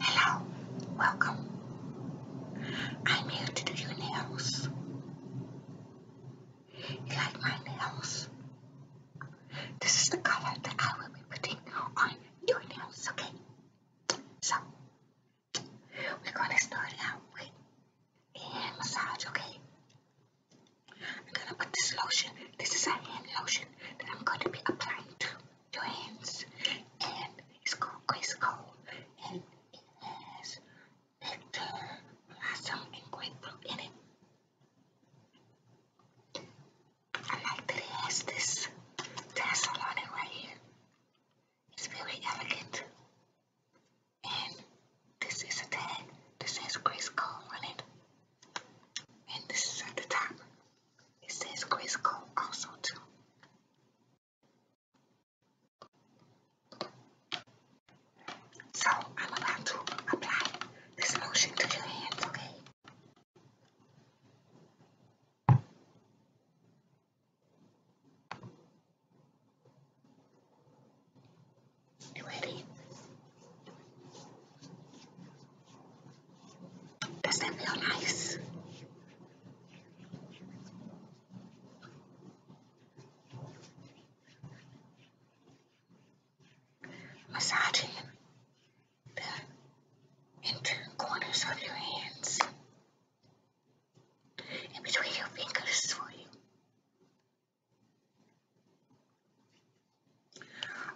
Hello, welcome. I'm here to do your nails. You like my nails? This is the color that I will be putting on your nails, okay? So, we're gonna start out with a hand massage, okay? I'm gonna put this lotion. This is a hand lotion lotion I'm going to be applying to your hands. And it's called Grace And it has nectar, blossom, and grapefruit in it. I like that it has this tassel on it right here. It's very elegant. And this is a tag This is Grace Cole on it and this is at the top. It says Crisco also too. So I'm about to apply this lotion to your hands, okay? ready? Does that feel nice? Massaging the corners of your hands in between your fingers for you.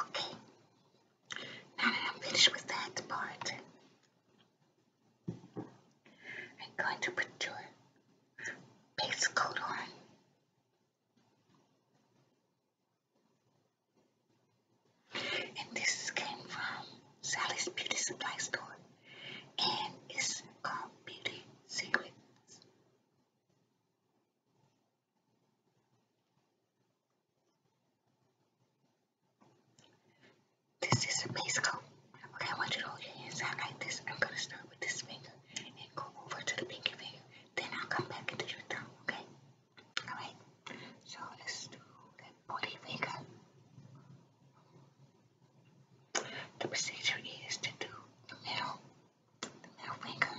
Okay, now that I'm finished with that part, I'm going to put your base coat on. And this came from Sally's Beauty Supply Store, and it's called Beauty Secrets. This is a base coat. Okay, I want you to hold your hands like this. I'm gonna start with this finger and go over to the pinky finger. Then I'll come back and do your thumb, okay? Alright, so let's do that body finger. The procedure is to do the middle the middle finger,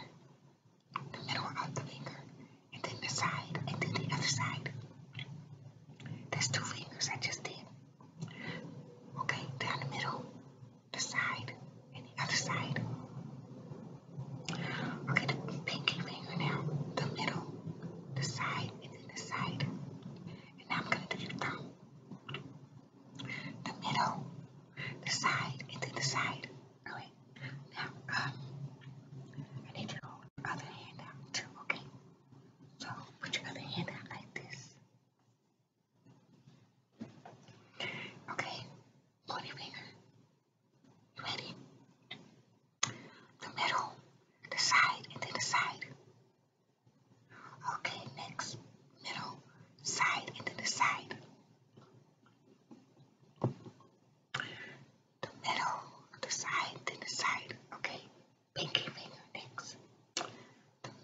the middle of the finger, and then the side, and then the other side. There's two fingers I just did. Okay, down the middle, the side, and the other side. Okay, the pinky finger now, the middle, the side, and then the side. And now I'm going to do the thumb. The middle, the side, and then the side. Really? Now, um, I need your other hand out too, okay? So, put your other hand out like this. Okay, pointy finger. You ready? The middle, the side, and the side. Okay, next. Middle, side, and the side the middle, the side, then the side. Okay, pinky finger next. The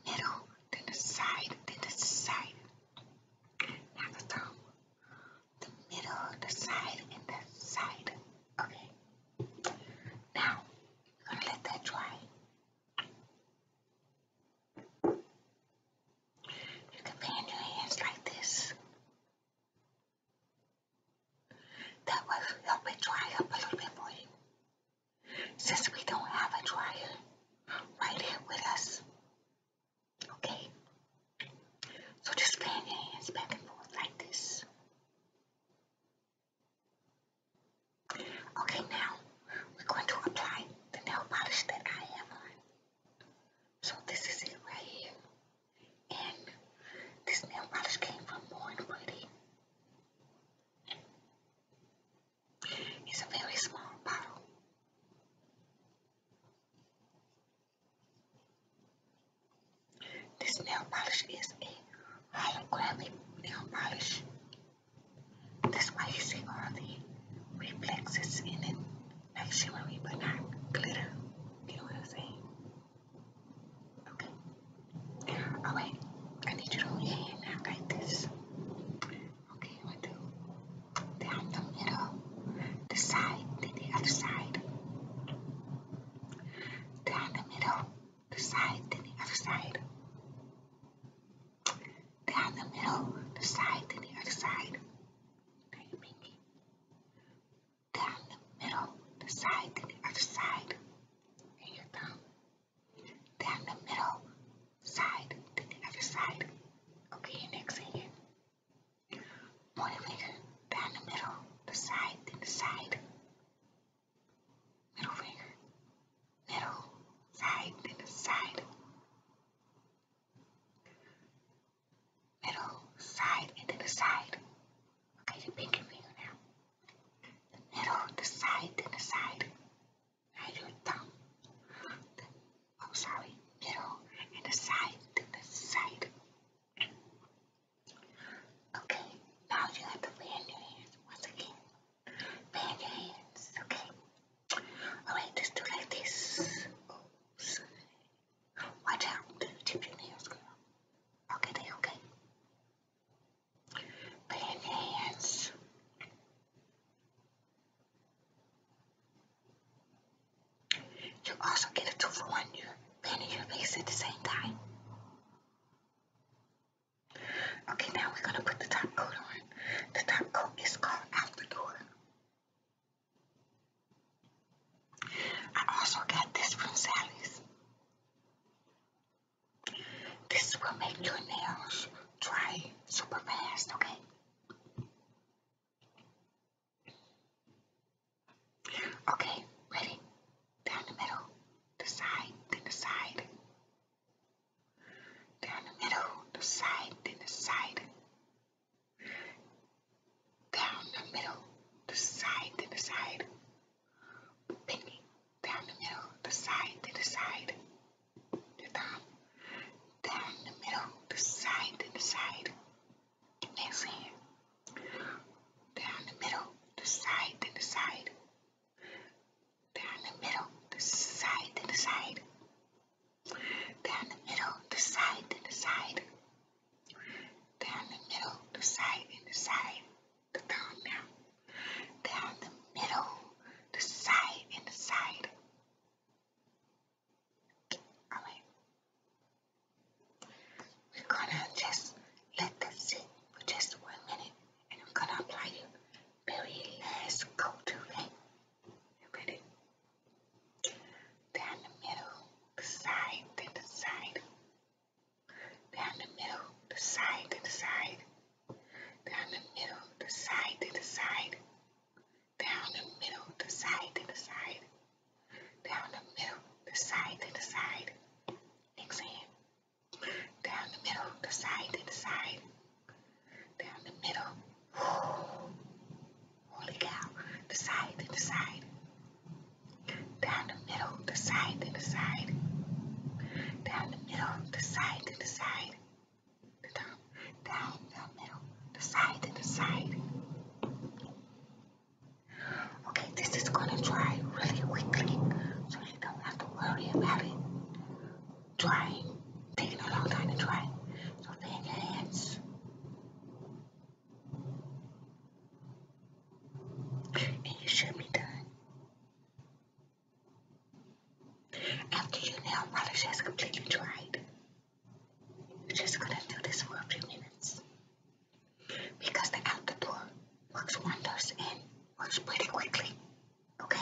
middle, then the side, then the side. Now the thumb. The middle, the side, and the side. Okay. Now, you are gonna let that dry. You can bend your hands like this. That will help it dry up a little bit for Since we don't have a dryer right here with us. Okay? So just fan your hands back and forth like this. Okay, now we're going to apply the nail polish that I have on. So this is it right here. And this nail polish came from Born Pretty. It's a very small bottle. This nail polish is a holographic nail polish. That's why you see all the reflexes in it like shimmery but not glitter. You know what I'm saying? Okay. All right. I need you to hold out like this. Okay, i do down the middle, the side, then the other side. Down the middle, the side, then the other side down the middle, the side, then the other side. Down the middle, the side, then the other side. And your thumb. Down the middle, side, then the other side. Okay, next hand. Pointer finger, down the middle, the side, then the side. Middle finger, middle, side, then the side. Middle, side, and then the side. Okay, your pinky finger now. The middle, the side, then the side. Now your thumb. oh, sorry. Middle, and the side, and the side. Okay, now you have to fan your hands once again. Fan your hands, okay? Oh, Alright, let do like this. Watch out, tip your nails, girl. Okay, they okay. Playing hands. You also get a two for one. You're painting your face at the same time. Okay, now we're gonna put the top coat on. The top coat is called After I also got this from Sally's. This will make your nails dry super fast, okay? Okay, ready? Down the middle, the side, then the side, down the middle, the side, then the side, down the middle, the side, then the side, down the middle, the side, then the side, the down the middle, the side, then the side, next hand, down the middle, the side, then the side, down the middle, the side to the side, down the middle, the side to the side, down the middle, the side and the side, the thumb now, down the middle, the side and the side. Alright. We're gonna just let that sit for just one minute and I'm gonna apply your very last coat, okay? repeat it. Down the middle, the side, then the side. Down the middle, the side, then the side. Down the middle, the side, then the side. Down the middle, the side, then the side. Down the middle, the side, then the side. Next hand. Down the middle, the side, then the side down the middle. Holy cow. The side, to the side. Down the middle, the side, to the side. Down the middle, the side, to the side. The top. Down the middle, the side, to the side. Okay, this is gonna dry really quickly so you don't have to worry about it drying, taking a long time to dry. So big hands. And you should be done. After your nail polish has completely dried, you're just gonna do this for a few minutes. Because the out works wonders and works pretty quickly. Okay?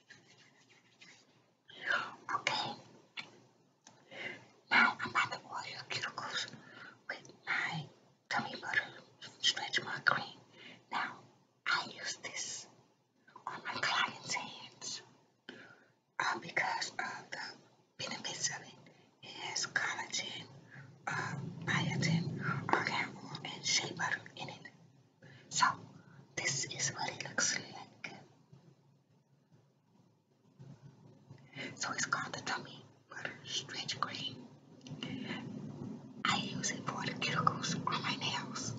Okay. Now I'm about to oil cuticles with my gummy butter stretch mark cream. Now I use this on my client's hands uh, because of the benefits of it. It has collagen, biotin, argan oil, and shea butter in it. So this is very luxury like. So it's called the tummy butter stretch cream. I use it for the cuticles on my nails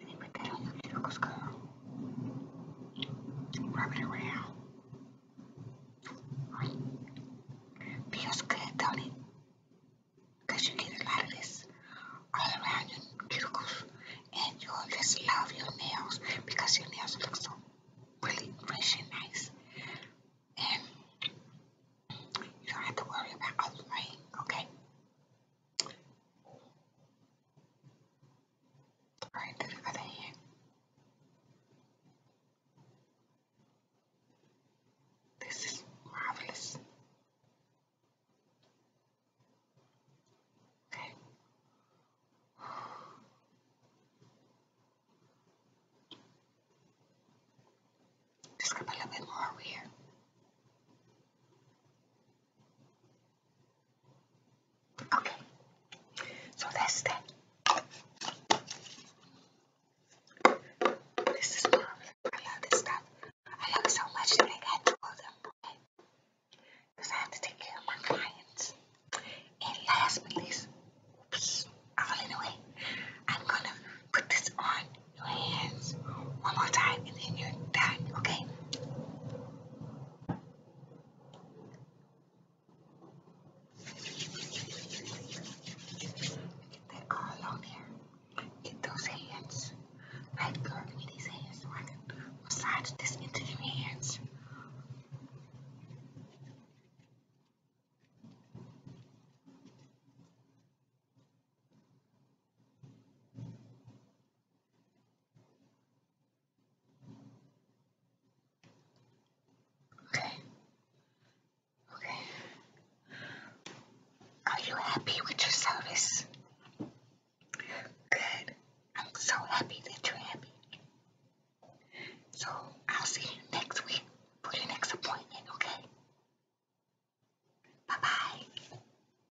and you put that on your cuticle skull. Rub it around. Right. Feels good, don't it? you get a lot of this all around your cuticles. And you'll love your nails because your nails look so really fresh and nice. And you don't have to worry about other rain, okay? right over there. This is marvelous. Okay. Just a little bit more here. Okay, so that's that. This is marvelous. I love this stuff. I love so much that Because I have to take care of my clients. And last but least, oops, all in the way, I'm going to put this on your hands one more time and then you're okay? They're all out here. Get those hands. Right, girl, give me these hands so I can massage this into your hands. Okay. Okay. Are you happy with your service? Good. I'm so happy that you're happy. So I'll see you next week for your next appointment, okay? Bye bye.